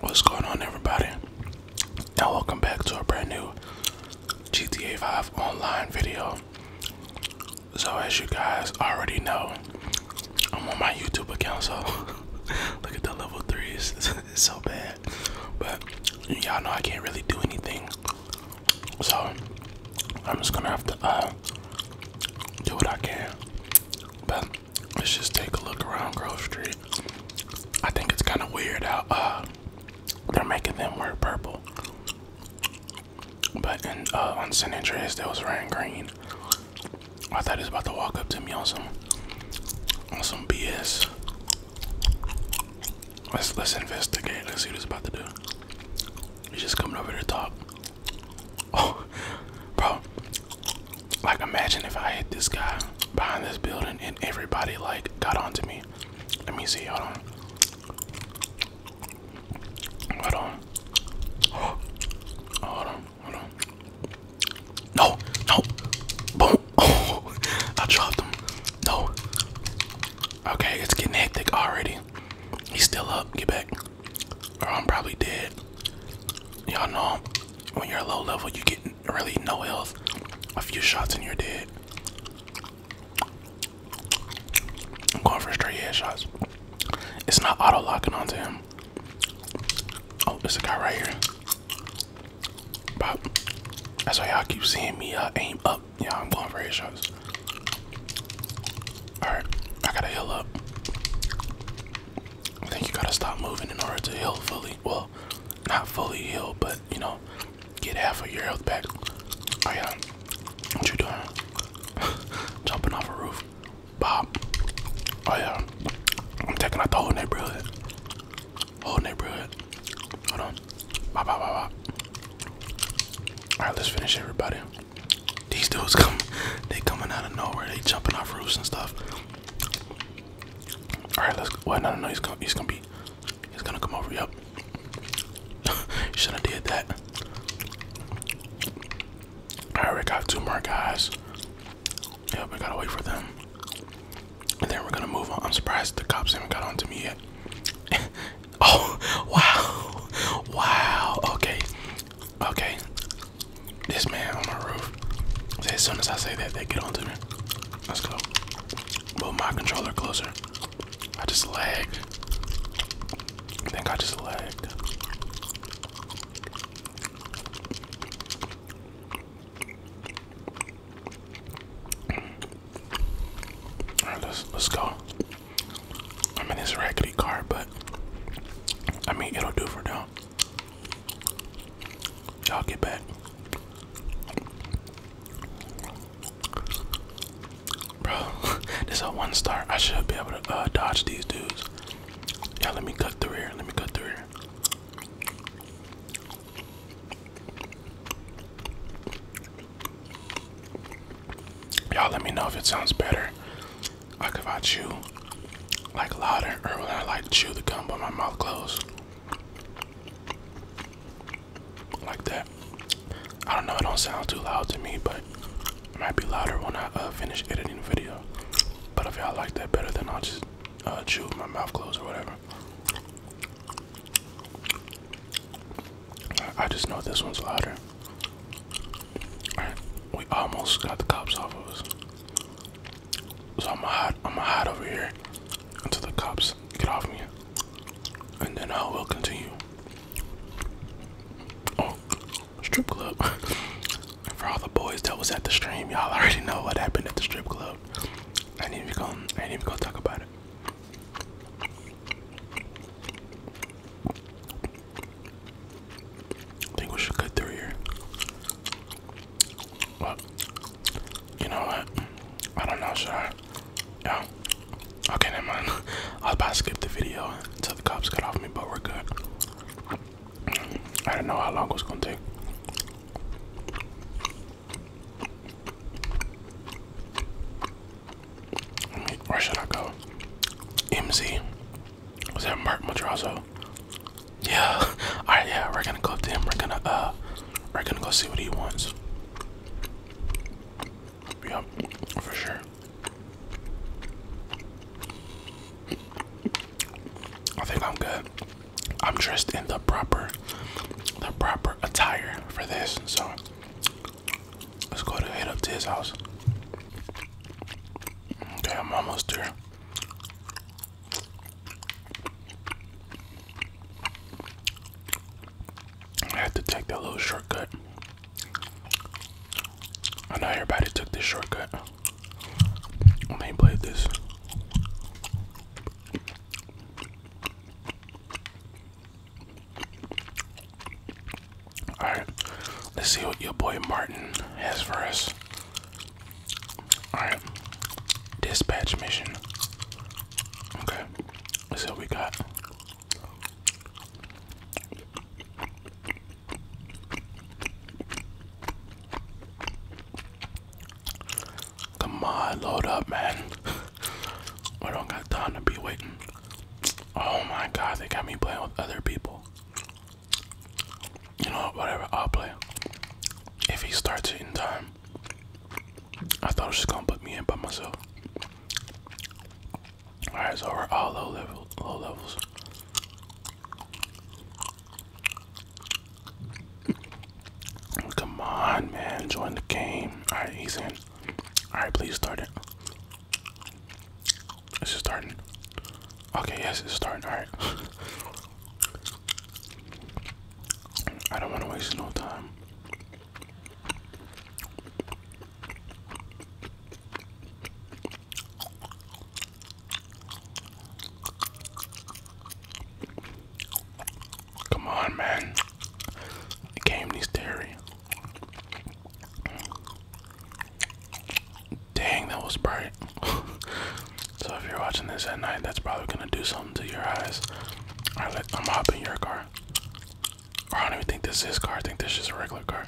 What's going on, everybody? And welcome back to a brand new GTA 5 online video. So, as you guys already know, I'm on my YouTube account, so look at the level threes. It's so bad, but y'all know I can't really do anything. So, I'm just gonna have to uh, do what I can. But Let's just take a look around Grove Street. I think it's kind of weird how uh, they're making them wear purple. But uh, on San Andreas, they was wearing green. I thought he was about to walk up to me on some on some BS. Let's let's investigate. Let's see what he's about to do. He's just coming over to talk. Oh, bro. Like, imagine if I hit this guy behind this building and everybody, like, got onto me. Let me see. Hold on. Hold on. Oh, hold on. Hold on. No. No. Boom. Oh, I dropped him. No. Okay, it's getting hectic already. He's still up. Get back. Or I'm probably dead. Y'all know I'm, when you're low level, you get really no health. A few shots and you're dead. I'm going for straight headshots. It's not auto locking onto him. Oh, there's a guy right here. Pop. That's why y'all keep seeing me aim up. Yeah, I'm going for headshots. Alright, I gotta heal up. I think you gotta stop moving in order to heal fully. Well, not fully heal, but you know, get half of your health back. Oh yeah, what you doing? Jumping off a roof, Bob. Oh yeah, I'm taking out the whole neighborhood. Whole neighborhood. Hold on. Bop, bop, bop, bop. All right, let's finish everybody. These dudes come, they coming out of nowhere. They jumping off roofs and stuff. All right, let's. Wait, no, no, no. He's gonna, he's gonna be, he's gonna come over. Yep. should have did that. All right, we got two more guys. Yep, we gotta wait for them, and then we're gonna move on. I'm surprised the cops haven't got onto me yet. oh, wow, wow. Okay, okay. This man on the roof. As soon as I say that, they get onto me. Let's go. Move my controller closer. I just lagged. I think I just lagged. Alright, let's let's go. I am in this raggedy car, but I mean it'll do for now now. Y'all get back. Bro, this a one star. I should be able to uh, dodge these dudes. Y'all let me cut through here. Let me cut through here. Y'all let me know if it sounds better like if I chew like louder or when I like chew the gum with my mouth closed. Like that. I don't know, it don't sound too loud to me, but might be louder when I uh, finish editing the video. But if y'all like that better, than I'll just uh, chew with my mouth closed or whatever. I just know this one's louder. we almost got the cops off of us. So I'm gonna hide, I'm gonna hide over here until the cops get off me, and then I will continue. Oh, strip club! For all the boys that was at the stream, y'all already know what happened at the strip club. ain't even gonna, I ain't even gonna talk about it. I think we should cut through here you know what? I don't know, should I? Yeah. Okay, never mind. I was about skip the video until the cops get off me, but we're good. I don't know how long it was gonna take. Where should I go? MZ. Was that Mark Madrazo? Yeah. Alright, yeah, we're gonna go to him. We're gonna uh we're gonna go see what he wants. Yep, for sure. I think I'm good. I'm dressed in the proper the proper attire for this, so let's go to head up to his house. Okay, I'm almost there. I had to take that little shortcut. I know everybody took this shortcut when they played this. Alright, let's see what your boy Martin has for us. Alright. Dispatch mission. Okay. let we got. Come on, load up, man. I don't got time to be waiting. Oh my god, they got me playing with other people. You know, whatever, I'll play. If he starts it in time, I thought it was just gonna put me in by myself. Alright, so we're all low level low levels. Come on man, join the game. Alright, he's in. Alright, please start it. It's just starting. Okay, yes, it's starting. All right. I don't want to waste no time. Come on, man. game needs theory. Dang, that was bright. so if you're watching this at night, that's probably gonna do something to your eyes. Alright, let, I'm hopping your car. I don't even think this is his car. I think this is just a regular car.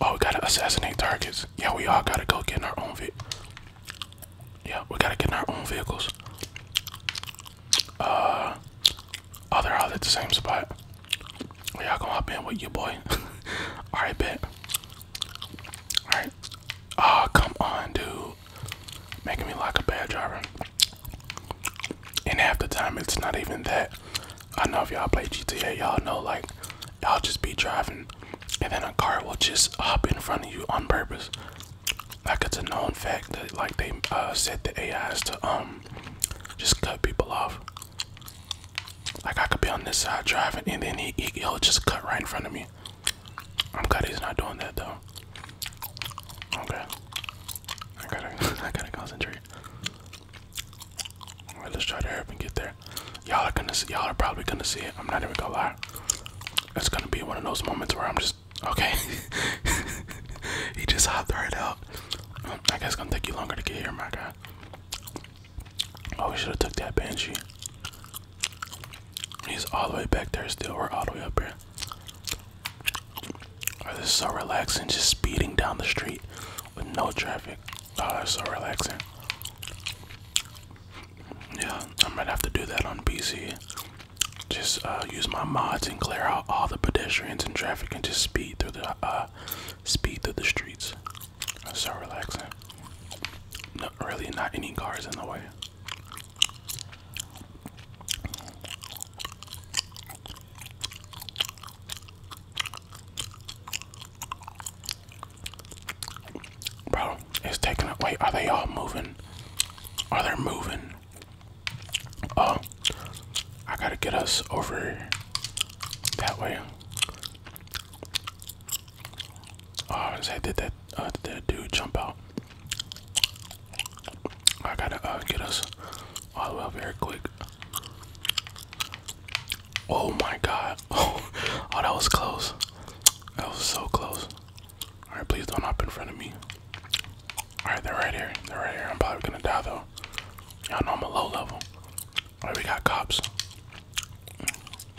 Oh, we gotta assassinate targets. Yeah, we all gotta go get in our own vehicle. Yeah, we gotta get in our own vehicles. Uh, oh, they're all at the same spot. We all gonna hop in with you, boy. all right, bet. Alright. Oh, come on, dude. Making me like a bad driver. And half the time, it's not even that. I know if y'all play GTA, y'all know, like, I'll just be driving, and then a car will just hop in front of you on purpose. Like, it's a known fact that, like, they uh, set the AIs to, um, just cut people off. Like I could be on this side driving, and then he, he will just cut right in front of me. I'm glad he's not doing that though. Okay, I gotta I gotta concentrate. All right, let's try to help and get there. Y'all are gonna see. Y'all are probably gonna see it. I'm not even gonna lie. It's gonna be one of those moments where I'm just okay. he just hopped right out. I guess it's gonna take you longer to get here, my guy. Oh, we should have took that Banshee. He's all the way back there still. We're all the way up here. Oh, this is so relaxing. Just speeding down the street with no traffic. Oh, that's so relaxing. Yeah, I might have to do that on PC. Just uh, use my mods and clear out all the pedestrians and traffic, and just speed through the uh, speed through the streets so relaxing. Not really, not any cars in the way. Bro, it's taking up. are they all moving? Are they moving? Oh, I gotta get us over that way. Oh, I was gonna did that, uh, that dude jump out? I gotta uh, get us all the here quick. Oh my god. Oh, oh, that was close. That was so close. Alright, please don't hop in front of me. Alright, they're right here. They're right here. I'm probably gonna die though. Y'all know I'm a low level. Alright, we got cops.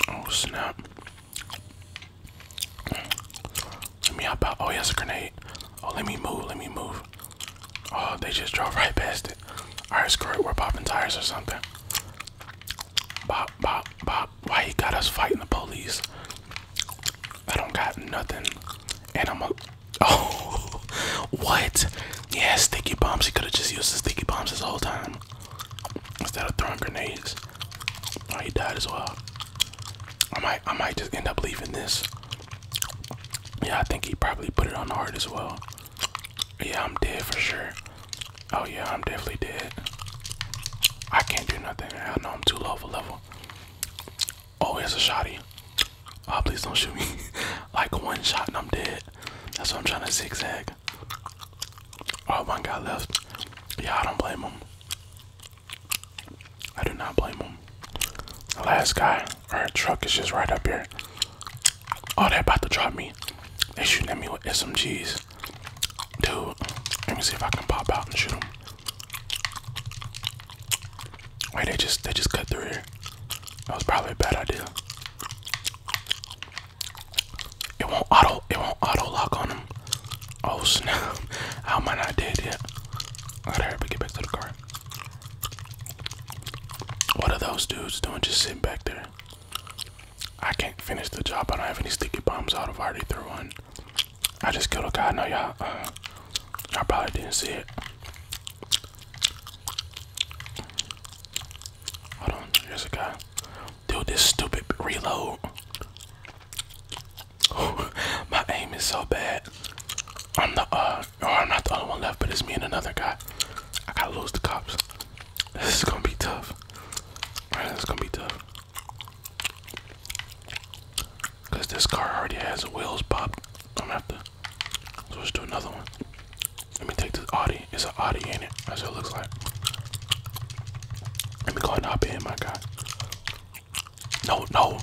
Oh snap. Let me hop out. Oh, yes, a grenade. Oh, let me move. Let me move. Oh, they just drove right past it. Alright, screw it. We're popping tires or something. Bop, bop, bop. Why he got us fighting the police? I don't got nothing. And I'm a. Oh, what? Yeah, sticky bombs. He could have just used the sticky bombs this whole time. Instead of throwing grenades. Oh, he died as well. I might, I might just end up leaving this. Yeah, I think he probably put it on the heart as well. Yeah, I'm dead for sure. Oh yeah, I'm definitely dead. I can't do nothing. I know I'm too low for level. Oh, it's a shotty. Oh, please don't shoot me. like one shot and I'm dead. That's why I'm trying to zigzag. Oh, one guy left. Yeah, I don't blame him. I do not blame him. The last guy, our truck is just right up here. Oh, they're about to drop me. They shooting at me with SMGs. Dude, let me see if I can pop out and shoot them. Wait, they just they just cut through here. That was probably a bad idea. It won't auto it won't auto lock on them. Oh snap. How am I not dead yet? I gotta hurry up get back to the car. What are those dudes doing just sitting back there? I can't finish the job. I don't have any sticky bombs i I've already threw one. I just killed a guy. No, y'all, I uh, probably didn't see it. Hold on. Here's a guy do this stupid reload. My aim is so bad. I'm the uh, or oh, I'm not the only one left, but it's me and another guy. I gotta lose the cops. This is gonna be tough. Right, this is gonna be tough. Cause this car already has wheels popped. I'm gonna have to switch to another one. Let me take this Audi. It's an Audi, ain't it? That's what it looks like. Let me go and hop in, my guy. No, no,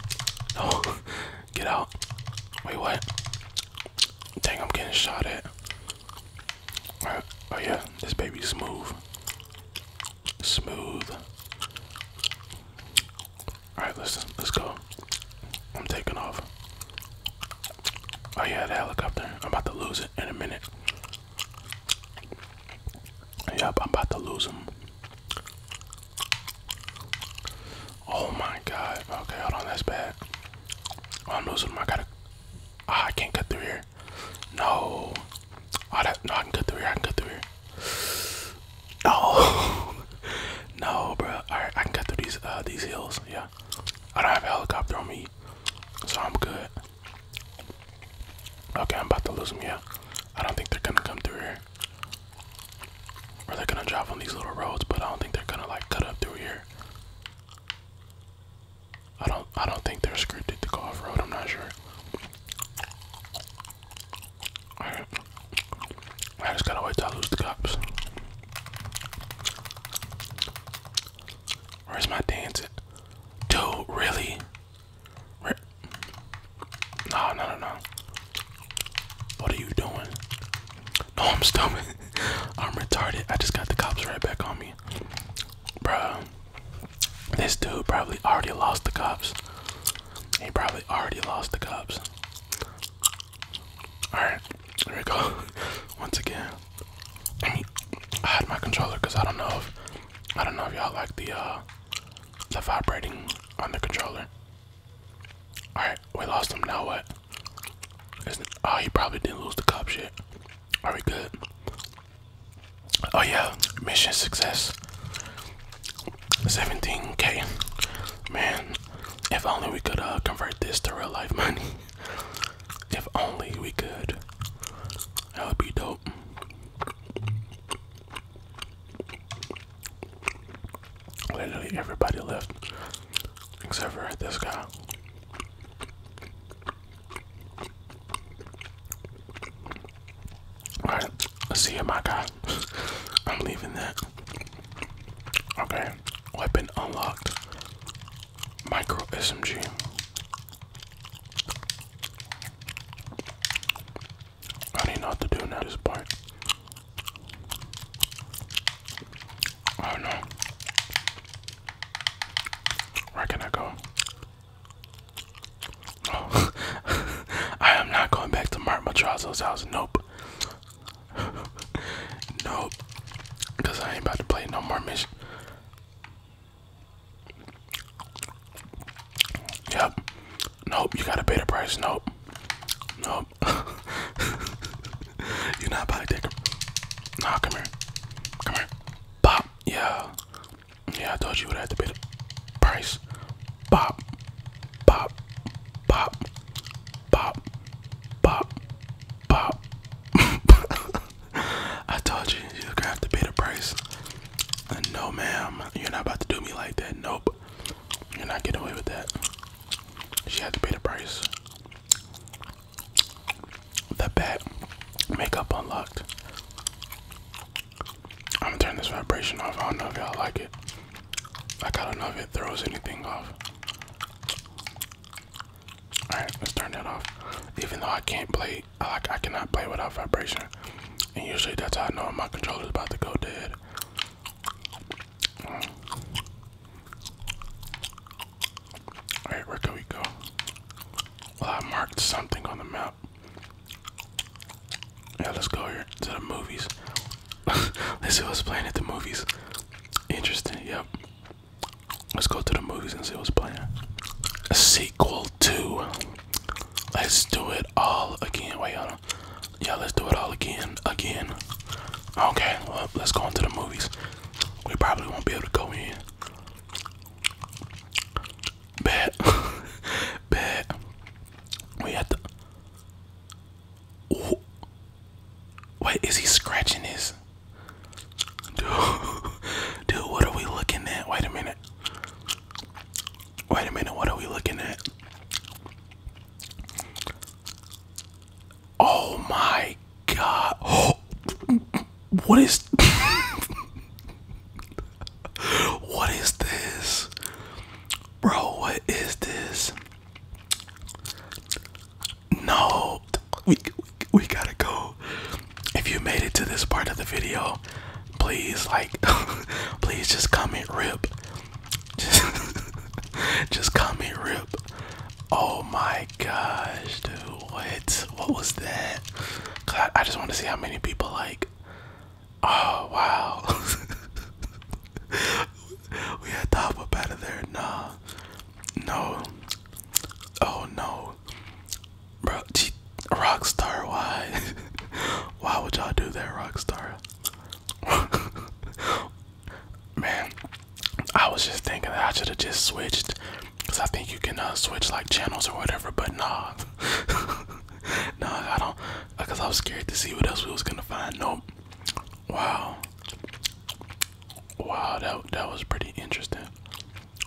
no. Get out. Wait, what? Dang, I'm getting shot at. Right. Oh, yeah, this baby's smooth. Smooth. Alright, listen, let's go. I'm taking off. Oh, yeah, the helicopter. I'm about to lose it in a minute. Yep, I'm about to lose him. Oh my god. Okay, hold on, that's bad. Oh, I'm losing him. I gotta. Ah, I can't cut through here. No. Oh, that, no, I can cut through here. I can cut through here. No. no, bro. Alright, I can cut through these uh, these hills. Yeah. I don't have a helicopter on me so I'm good. Okay, I'm about to lose them, yeah. I don't think they're gonna come through here. Or they're gonna drive on these little roads, but I don't think they're gonna like cut up through here. I don't I don't think they're scripted to go off road, I'm not sure. I just gotta wait till I lose the cops. Where's my dance Dude, really? Re no, no, What are you doing? No, I'm stupid. I'm retarded. I just got the cops right back on me. Bruh. This dude probably already lost the cops. He probably already lost the cops. Alright, there we go. Once again. I had my controller because I don't know if I don't know if y'all like the uh, the vibrating on the controller. All right, we lost him. Now what? oh, he probably didn't lose the cup. Shit. Are we good? Oh yeah, mission success. 17k. Man, if only we could uh, convert this to real life money. If only we could. That would be dope. Literally everybody left except for this guy. Alright, let's see you, my guy. I'm leaving that. Okay, weapon unlocked micro SMG. I don't know what to do now this part. Oh no. Where can I go? I am not going back to Mark Matrazo's house. Nope. nope. Because I ain't about to play no more missions. Yep. Nope. You gotta pay the price. Nope. Nope. You're not about to take a. Nah, come here. Come here. Bop. Yeah. Yeah, I told you would have to pay the price. Bop. Bop. Bop. Bop. Bop. Bop. I told you, you're gonna have to pay the price. And no, ma'am, you're not about to do me like that. Nope, you're not getting away with that. She had to pay the price. The bat makeup unlocked. I'm gonna turn this vibration off. I don't know if y'all like it. I got not know if it throws anything off. Alright, let's turn that off. Even though I can't play, I, I cannot play without vibration. And usually that's how I know my controller's about to go dead. Alright, where can we go? Well, I marked something on the map. Yeah, let's go here to the movies. let's see what's playing at the movies. Interesting, yep. Let's go to the movies and see what's playing. A sequel to. Let's do it all again. Wait, y'all. Yeah, let's do it all again. Again. Okay, well, let's go into the movies. We probably won't be able to go in. Bet. Bet. We have to. Ooh. Wait, he scratching his? Dude, dude, what are we looking at? Wait a minute. Wait a minute, what are we looking at? Oh my god. what is What is this? Bro, what is this? No we, we gotta go. If you made it to this part of the video, please like, please just comment rip. Just, just comment rip. Oh my gosh, dude, what? What was that? I, I just want to see how many people like. Oh wow. we had to hop up out there. Nah. No. Oh no. Bro, gee, Rockstar, why? why would y'all do that, Rockstar? Man, I was just thinking that I should have just switched. Cause I think you can uh, switch like channels or whatever, but nah. nah, I don't. Cause I was scared to see what else we was gonna find. Nope. Wow. Wow, that that was pretty interesting.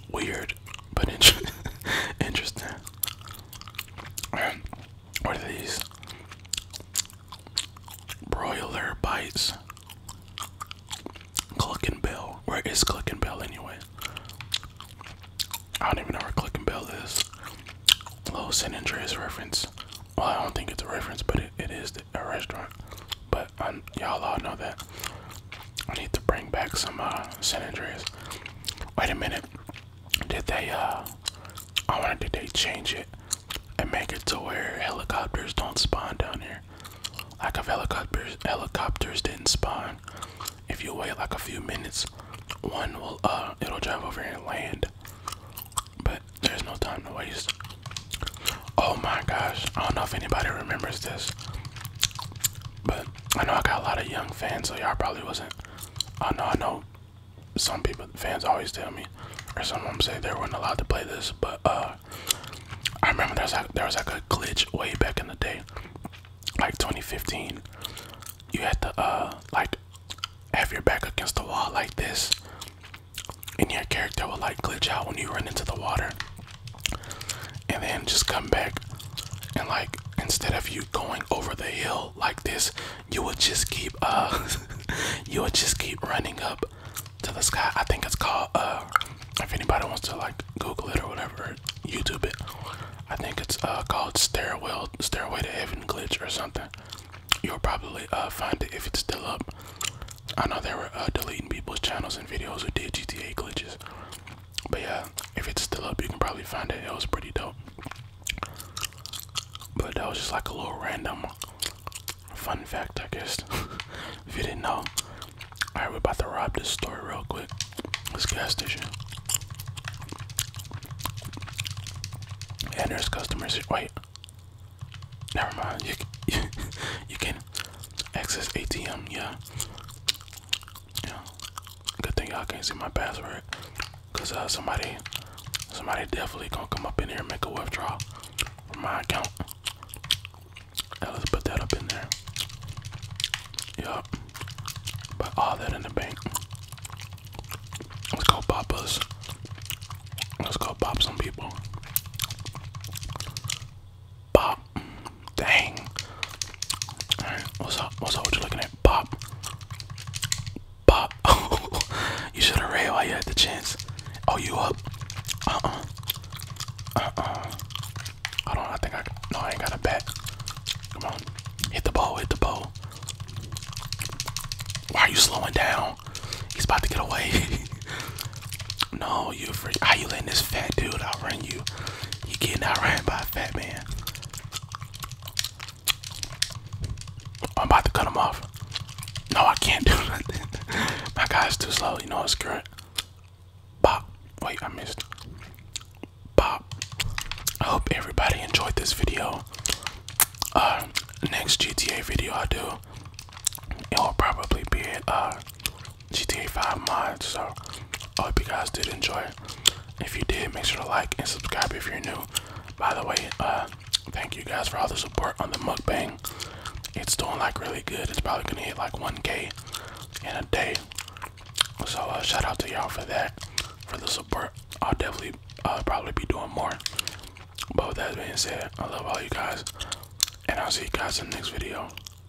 Weird, but in interesting. What are these? Broiler bites. Click and Bell. Where is Click and Bell anyway? I don't even know where Click and Bell is. Little San Andreas reference. Well, I don't think it's a reference, but it, it is a restaurant. But um, y'all all know that. I need to bring back some uh, San Andreas. Wait a minute. Did they, uh, I wonder, did they change it and make it to where helicopters don't spawn down here? Like if helicopters, helicopters didn't spawn, if you wait like a few minutes, one will, uh, it'll drive over here and land. But there's no time to waste. Oh my gosh, I don't know if anybody remembers this. But I know I got a lot of young fans, so y'all probably wasn't. I know, I know some people, fans always tell me, or some of them say they weren't allowed to play this, but uh, I remember there was, like, there was like a glitch way back in the day, like 2015. You had to uh, like have your back against the wall like this, and your character would like glitch out when you run into the water and then just come back and like instead of you going over the hill like this you would just keep uh you would just keep running up to the sky i think it's called uh if anybody wants to like google it or whatever youtube it i think it's uh called stairwell stairway to heaven glitch or something you'll probably uh find it if it's still up i know they were uh, deleting people's channels and videos who did gta glitches but yeah, if it's still up, you can probably find it. It was pretty dope. But that was just like a little random fun fact, I guess. if you didn't know. Alright, we're about to rob this store real quick. This gas station. And there's customers. Wait. Never mind. you, you can access ATM, yeah. Yeah. Good thing y'all can't see my password. Cause uh somebody somebody definitely gonna come up in here and make a withdrawal from my account. Now let's put that up in there. Yup. Put all that in the bank. Let's go poppers. Let's go pop some people. Dang. what's up? What's up? What you looking at? Pop. Pop. you should have read while you had the chance. Oh, you up? Uh-uh. Uh-uh. I don't I think I no I ain't got a bet. Come on. Hit the ball, hit the ball. Why are you slowing down? He's about to get away. No, you freak. How you letting this fat dude outrun you? You getting outran by a fat man. I'm about to cut him off. No, I can't do nothing. My guy's too slow. You know it's current. Bop. Wait, I missed. Bop. I hope everybody enjoyed this video. Uh, next GTA video I do, it will probably be Uh, GTA 5 mod. So I hope you guys did enjoy it. If you did, make sure to like and subscribe if you're new. By the way, uh, thank you guys for all the support on the mukbang. It's doing like really good. It's probably gonna hit like 1K in a day. So uh, shout out to y'all for that, for the support. I'll definitely uh, probably be doing more. But with that being said, I love all you guys, and I'll see you guys in the next video.